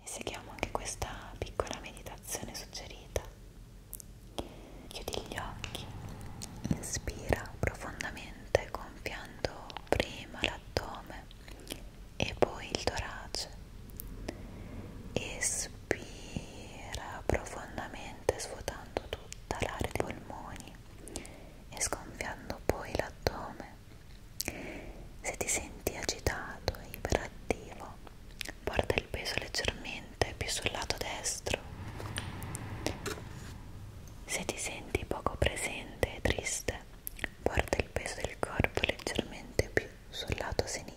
e seguiamo anche questa piccola meditazione suggerita. Chiudi gli occhi, inspira profondamente gonfiando prima l'addome e poi il torace. Espira profondamente svuotando tutta l'area dei polmoni e sgonfiando poi l'addome se ti senti agitato e iperattivo, porta il peso leggermente più sul lato destro. Se ti senti poco presente e triste, porta il peso del corpo leggermente più sul lato sinistro.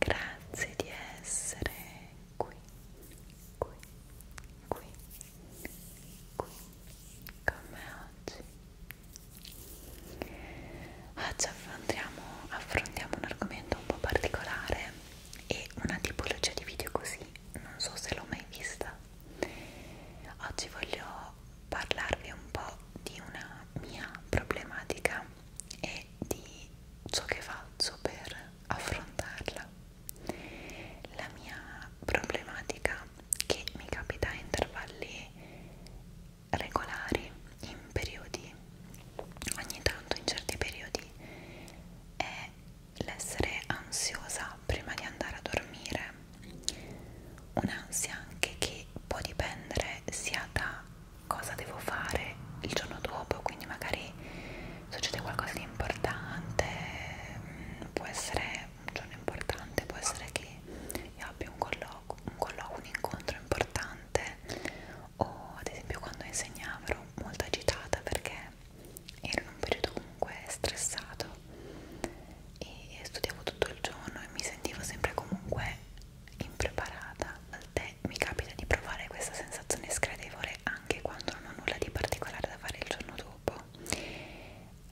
Grazie di essere qui, qui, qui, qui con me oggi. Oggi ah, affrontiamo, affrontiamo un argomento un po' particolare e una tipologia di video così, non so se l'ho mai vista. Oggi voglio parlarvi un po' di una mia problematica e di ciò che faccio per affrontarla. La mia problematica che mi capita a intervalli regolari, in periodi, ogni tanto in certi periodi, è l'essere ansiosa prima di andare a dormire, un'ansia anche che può dipendere sia da cosa devo fare il giorno dopo, quindi magari succede qualcosa di importante, mm, può essere un giorno importante, può essere che io abbia un colloquio, un, collo un incontro importante o ad esempio quando insegnavo ero molto agitata perché ero in un periodo comunque stressato e studiavo tutto il giorno e mi sentivo sempre comunque impreparata al tempo me mi capita di provare questa sensazione sgradevole anche quando non ho nulla di particolare da fare il giorno dopo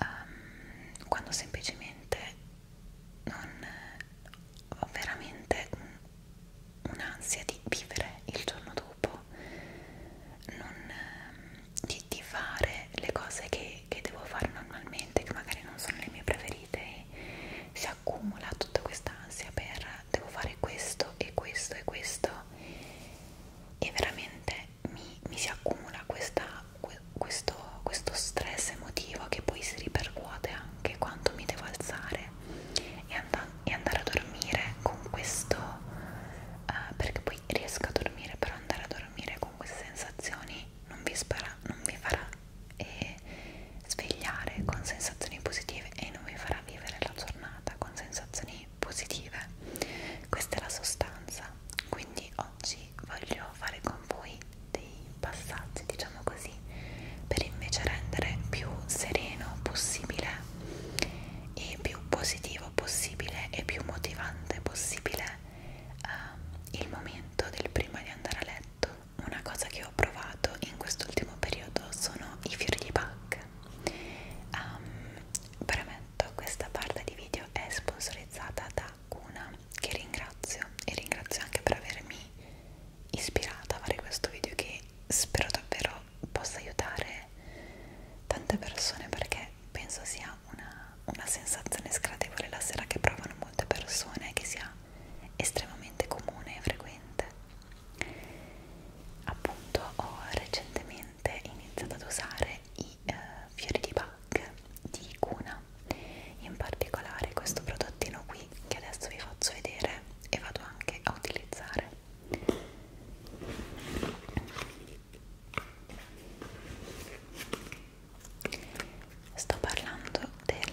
um, quando semplicemente non ho veramente un'ansia di vivere il giorno dopo non, ehm, di, di fare le cose che, che devo fare normalmente che magari non sono le mie preferite e si accumula tutta quest'ansia per devo fare questo e questo e questo e veramente mi, mi si accumula questa, questo, questo stress emotivo che poi si ripercuote anche quando mi devo alzare e, and e andare a dormire con questo uh, perché poi riesco a dormire però andare a dormire con queste sensazioni non vi, spara non vi farà eh, svegliare con sensazioni positive e non vi farà vivere la giornata con sensazioni positive questa è la sostanza quindi oggi voglio fare con voi dei passaggi diciamo così per invece rendere più sereno possibile e più positivo possibile e più motivante possibile eh, il momento del prima di andare a letto una cosa che ho provato in quest'ultimo periodo sono i fiori di Bach um, ehm, premetto questa parte di video è sponsorizzata da Cuna che ringrazio e ringrazio anche per avermi ispirata a fare questo video che spero davvero possa aiutare tante persone perché penso sia una, una sensazione sgradevole la sera che provano molte persone che sia estremamente comune e frequente appunto ho recentemente iniziato ad usare i eh, fiori di Bach di Cuna in particolare questo prodottino qui che adesso vi faccio vedere e vado anche a utilizzare sto parlando del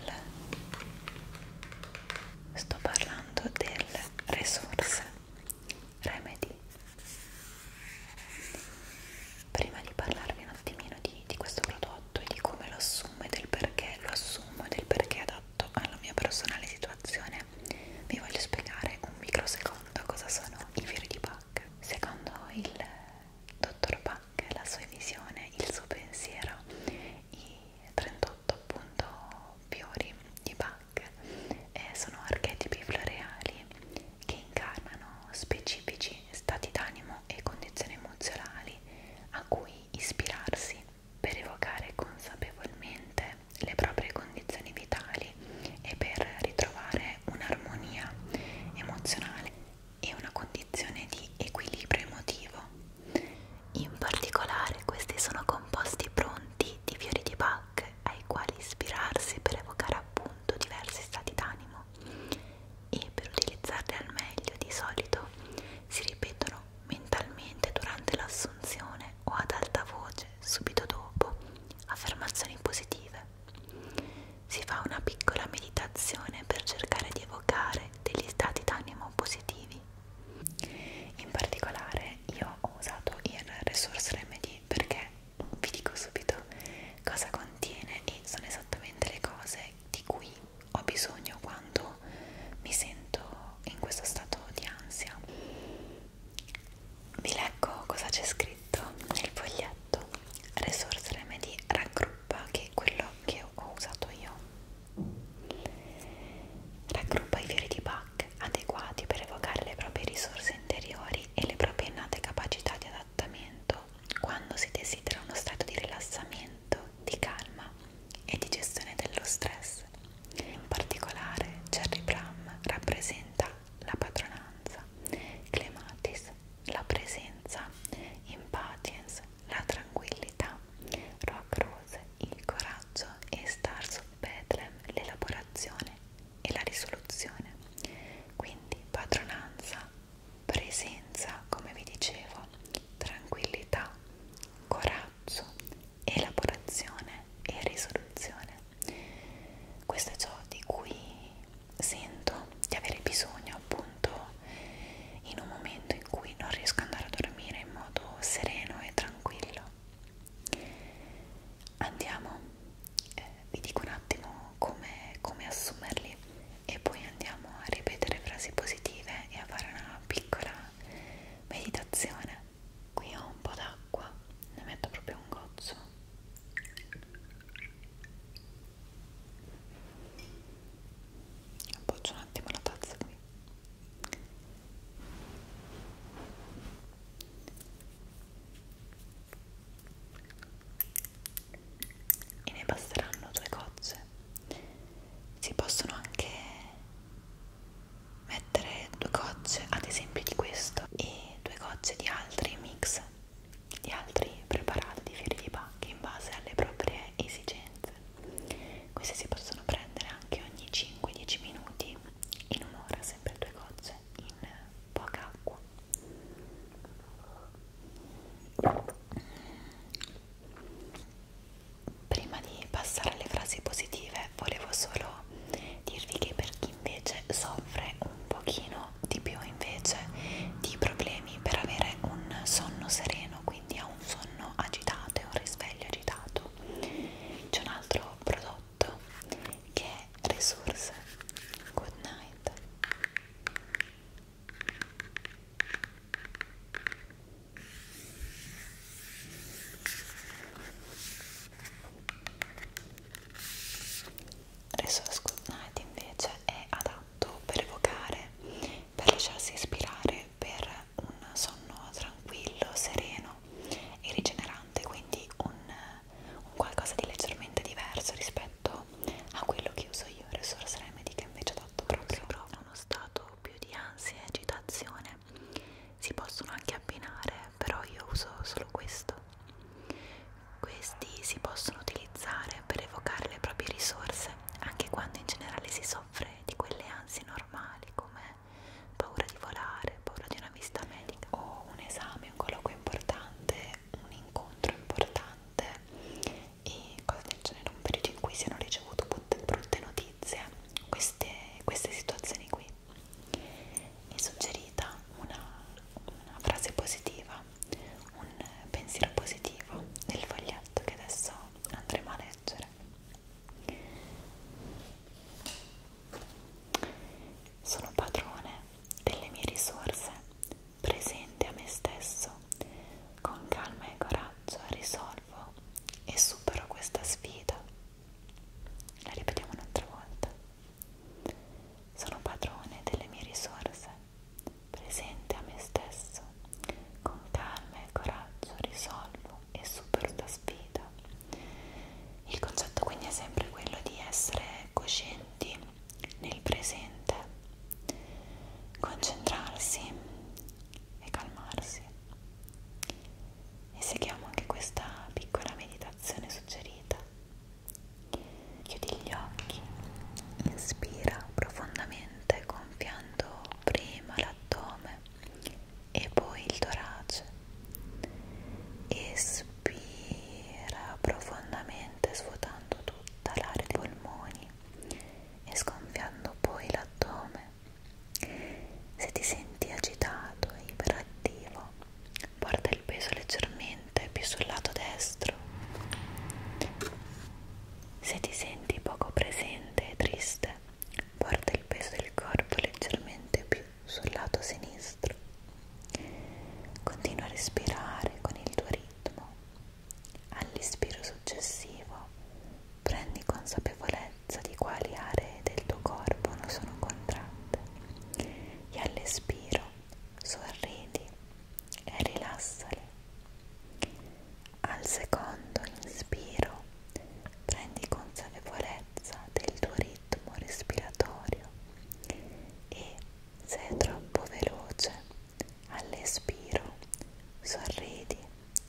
sto parlando delle risorse remedy prima di parlarvi un attimino di, di questo prodotto e di come lo assumo e del perché lo assumo e del perché è adatto alla mia personale situazione vi voglio spiegare un microsecondo cosa sono i fiori di Bach secondo il dottor Bach la sua visione, il suo pensiero i 38 prodotto appunto fiori di Bach eh, sono archetipi floreali che incarnano specifici stati d'animo e condizioni emozionali a cui ispirarsi per evocare consapevolmente le proprie condizioni vitali e per ritrovare un'armonia emozionale e una condizione di equilibrio emotivo in particolare questi sono composti pronti di fiori di Bach ai quali ispirarsi per evocare appunto diversi stati d'animo e per utilizzarli al meglio di solito si ripetono mentalmente durante l'assunzione o ad alta voce subito dopo affermazioni positive. Si fa una piccola meditazione per cercare di evocare degli stati d'animo positivi in particolare io ho usato il Resource Remedy perché vi dico subito cosa contiene e sono esattamente le cose di cui ho bisogno quando mi sento in questo stato di ansia vi leggo cosa c'è scritto nel foglietto Resource Remedy raggruppa che è quello che ho usato io Raggruppa i fiori di Bach adeguati per evocare le proprie risorse interiori e le proprie innate capacità di adattamento quando si desidera uno stato di rilassamento, di calma e di gestione dello stress. In particolare, Cherry Plum rappresenta la padronanza, Clematis la presenza, Impatience la tranquillità Rock Rose, Il coraggio e Stars of Bethlehem, l'elaborazione e la risoluzione. Quindi padronanza, presenza, come vi dicevo, tranquillità, coraggio, elaborazione e risoluzione. Questo è ciò di cui sento di avere bisogno appunto in un momento momento in cui non riesco ad andare a dormire in modo sereno e tranquillo. Andiamo, eh, vi dico un attimo come, come assumerli e poi andiamo a ripetere frasi positive e a fare una piccola meditazione. Qui ho un po' d'acqua, ne metto proprio un gozzo. Appoggia un attimo la tazza qui e ne basteranno due gocce si possono anche mettere due gocce ad esempio di questo e due gocce di altri mix di altri preparati di fiori di pacchi in base alle proprie esigenze queste si possono prendere anche ogni 5-10 minuti, in un'ora, sempre due gocce, in poca acqua. Prima di passare alle frasi positive, volevo solo dirvi che per chi invece soffre un pochino di più invece di problemi per avere un sonno sereno, quindi ha un sonno agitato e un risveglio agitato, no c'è un altro prodotto che è Resource Good Night Resource Good Night invece è adatto per evocare, per lasciarsi ispirare, per un sonno tranquillo, sereno e rigenerante, quindi un, un qualcosa di leggermente diverso rispetto a quello che uso io, Resource Remedy, che invece ho dato proprio a uno stato più di ansia e agitazione. Si possono anche abbinare, però io uso solo questo. Questi si possono utilizzare per evocare le proprie risorse, anche quando in generale si soffre di quelle ansie normali come paura di volare, paura di una visita medica o un esame, un colloquio importante, un incontro importante e cose del genere, un periodo in cui si hanno ricevuto brutte, brutte notizie, queste, queste situazioni qui. È suggerita una, una frase positiva, un pensiero positivo nel foglietto che adesso andremo a leggere. Sono padrone delle mie risorse, presente a me stesso, con calma e coraggio risolvo e supero questa sfida. La ripetiamo un'altra volta. Sono padrone delle mie risorse, presente a me stesso, con calma e coraggio risolvo lavoro e supero la sfida. Il concetto quindi è sempre quello di essere coscienti nel presente, concentrarsi e calmarsi. E seguiamo anche questa piccola meditazione suggerita. Chiudi gli occhi, inspira profondamente gonfiando prima l'addome e poi il torace. Espira profondamente svuotando tutta l'area dei polmoni e sgonfiando poi l'addome. Se ti senti agitato e iperattivo, porta il peso leggermente più sul lato destro. Se ti senti poco presente e triste, porta il peso del corpo leggermente più sul lato sinistro. Continua a respirare con il tuo ritmo. All'ispiro successivo prendi consapevolezza di quali aree del tuo corpo non sono contratte e all'espiro sorridi e rilassale. Al secondo inspiro prendi consapevolezza del tuo ritmo respiratorio e se è troppo veloce all'espiro sorridi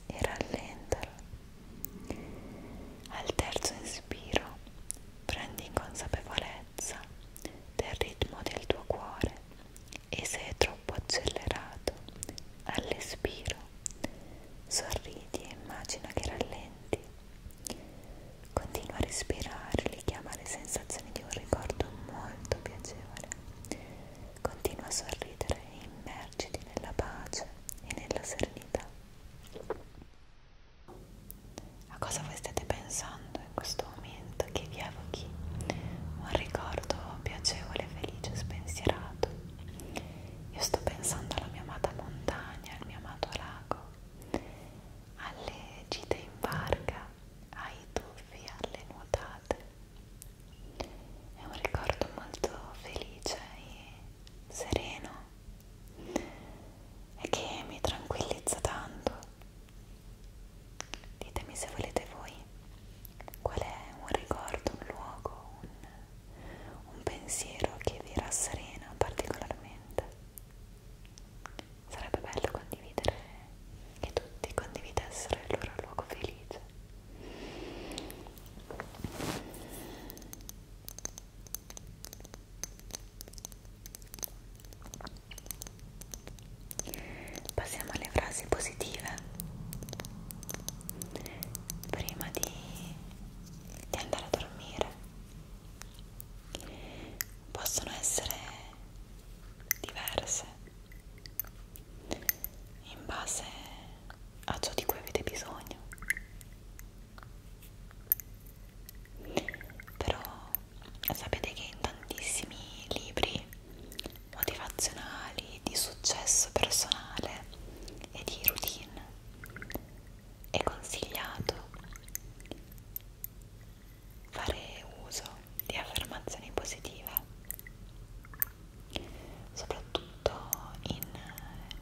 e rallentalo. Al terzo espiro prendi consapevolezza del ritmo del tuo cuore e se è troppo accelerato all'espiro sorridi e immagina che rallenti continua a respirare richiama le sensazioni di un ricordo molto piacevole continua a sorridere e immergiti nella pace e nella serenità a cosa voi state pensando in questo momento che vi evochi un ricordo piacevole, felice, spensierato io sto pensando alla mia amata montagna, al mio amato lago, alle gite in barca, ai tuffi, alle nuotate. È un ricordo molto felice e sereno e che mi tranquillizza tanto. Ditemi se volete voi qual è un ricordo, un luogo, un un pensiero che vi rasserena particolarmente. Sarebbe bello condividere, che tutti condividessero il loro luogo felice. Passiamo alle frasi positive. Prima di di andare a dormire possono essere diverse in base a ciò di cui avete bisogno però sapete che in tantissimi libri motivazionali di successo personale e di routine è consigliato fare uso di affermazioni positive, soprattutto in,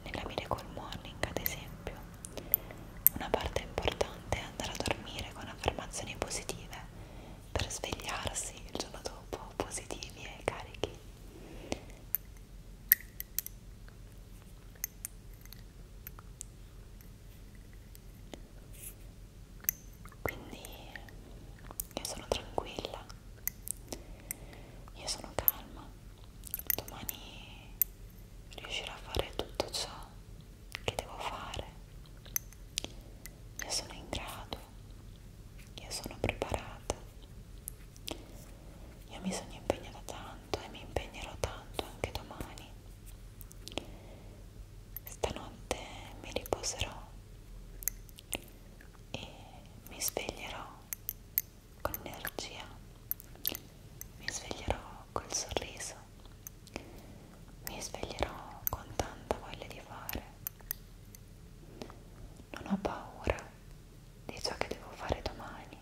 nella Miracle Morning ad esempio. Una parte importante è andare a dormire con affermazioni positive per svegliarsi il giorno dopo positivi e carichi quindi io sono tranquilla io sono calma domani riuscirò a fare tutto ciò che devo fare io sono in grado io sono preparata io mi sono impegnata tanto e mi impegnerò tanto anche domani. Stanotte mi riposerò e mi sveglierò con energia, mi sveglierò col sorriso, mi sveglierò con tanta voglia di fare. Non ho paura di ciò che devo fare domani.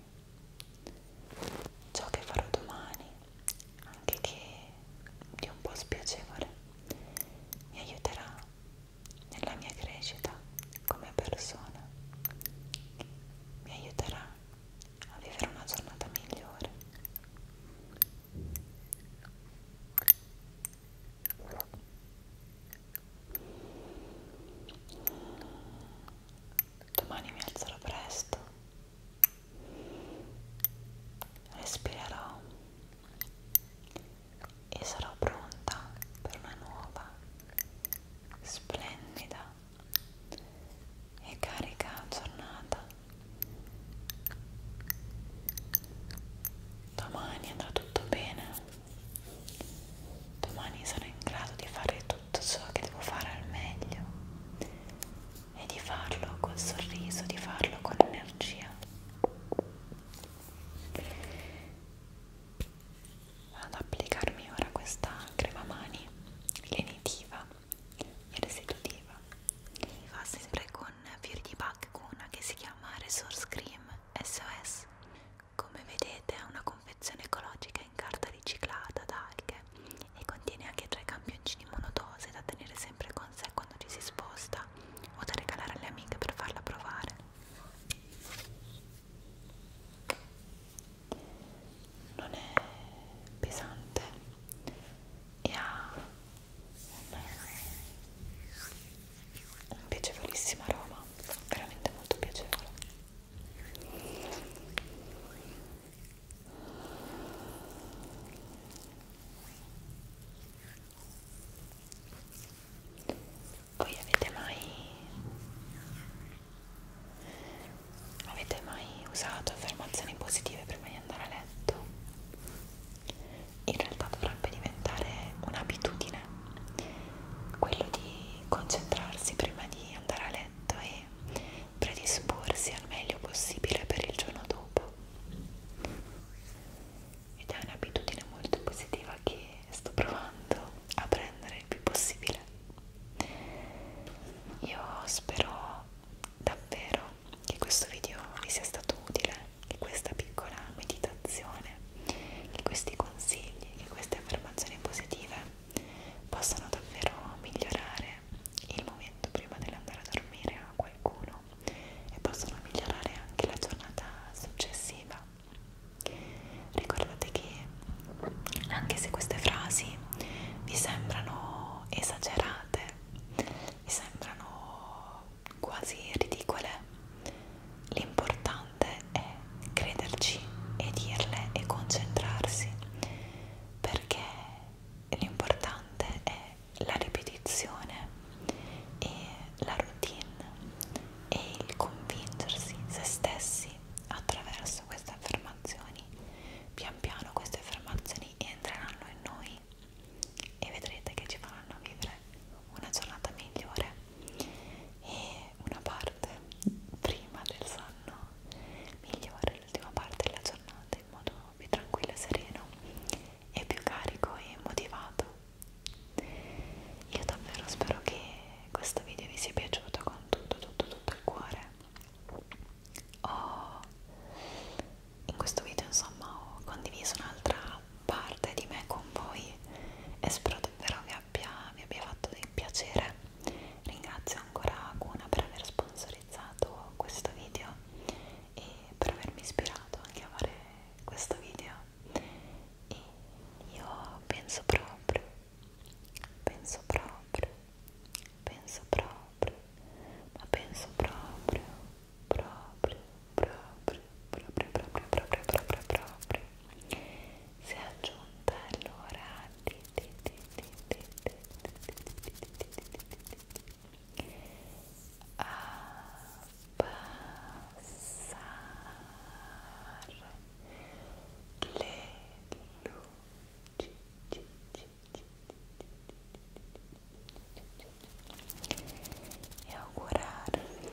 Ciò che farò domani, anche che di un po' spiacevole, mi aiuterà nella mia crescita come persona, mi aiuterà a vivere una giornata migliore. Domani mi alzerò presto, respirerò e sarò pronta per una nuova, splendida e carica giornata. Domani andrà tutto bene. Domani sarò in grado di fare tutto ciò che devo fare al meglio e di farlo col sorriso, di farlo con energia. Vado ad applicarmi ora questa crema mani lenitiva e residutiva. Mi fa sempre con fiori di bacchicuna che si chiama Resource Cream SOS come vedete è una confezione ecologica in carta riciclata ad alghe e contiene anche tre campioncini monodose da tenere sempre con sé quando ci si sposta o da regalare alle amiche per farla provare. Non è pesante e ha un piacevolissimo aroma, veramente molto piacevole. Voi avete mai avete mai usato affermazioni positive prima di andare a letto? In realtà dovrebbe diventare un'abitudine routine, quello di concentrarsi prima di andare a letto e predisporsi al meglio possibile per il giorno dopo. Ed è un'abitudine molto positiva che sto provando a prendere il più possibile. Io spero davvero che questo video vi sia stato utile, che questa piccola meditazione che questi consigli, che queste affermazioni positive possano davvero migliorare il momento prima dell'andare a dormire a qualcuno e possono migliorare anche la giornata successiva. Ricordate che anche se queste frasi vi sembrano esagerate, vi sembrano quasi ridicole, L'importante è crederci e dirle e concentrarsi perché l'importante è la ripetizione e la routine e il convincersi se stessi attraverso queste affermazioni. Pian piano queste affermazioni entreranno in noi e vedrete che ci faranno vivere una giornata migliore e una parte prima del sonno migliore, l'ultima parte della giornata in modo più tranquillo e sereno e più carico e motivato io davvero spero che questo video vi sia piaciuto con tutto tutto tutto il cuore ho in questo video insomma ho condiviso un'altra parte di me con voi e spero davvero vi abbia, vi abbia fatto piacere ringrazio ancora Guna per aver sponsorizzato questo video e per avermi ispirato anche a fare questo video e io penso proprio penso proprio penso proprio ma penso proprio proprio proprio proprio proprio proprio proprio proprio proprio si è aggiunta allora abbassare le luci e augurarvi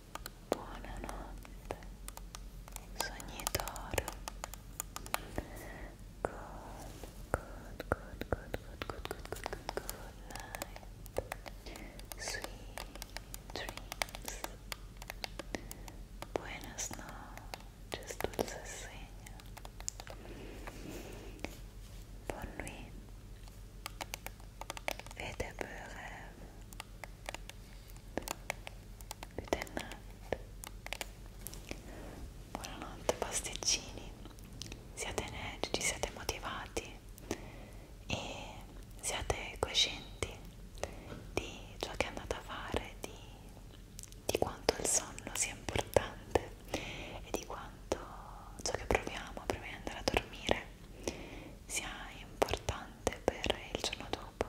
Buonanotte, sognitore. Good, good, good, good, good, good, good, good, good, good night. Sweet dreams. Buenas noches, dulce sueño. Bonne nuit. Fais de beaux Determinante. Buonanotte pasticcini, siate energici, siate motivati e siate coscienti di ciò che andate a fare, di, di quanto il sonno sia importante e di quanto ciò che proviamo prima di andare a dormire sia importante per il giorno dopo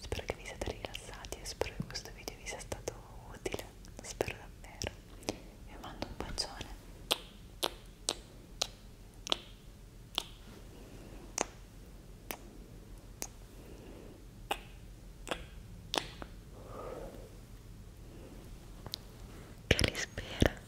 spero che vi siate rilassati e spero che questo video vi sia stato utile lo spero davvero vi mando un bacione che li spera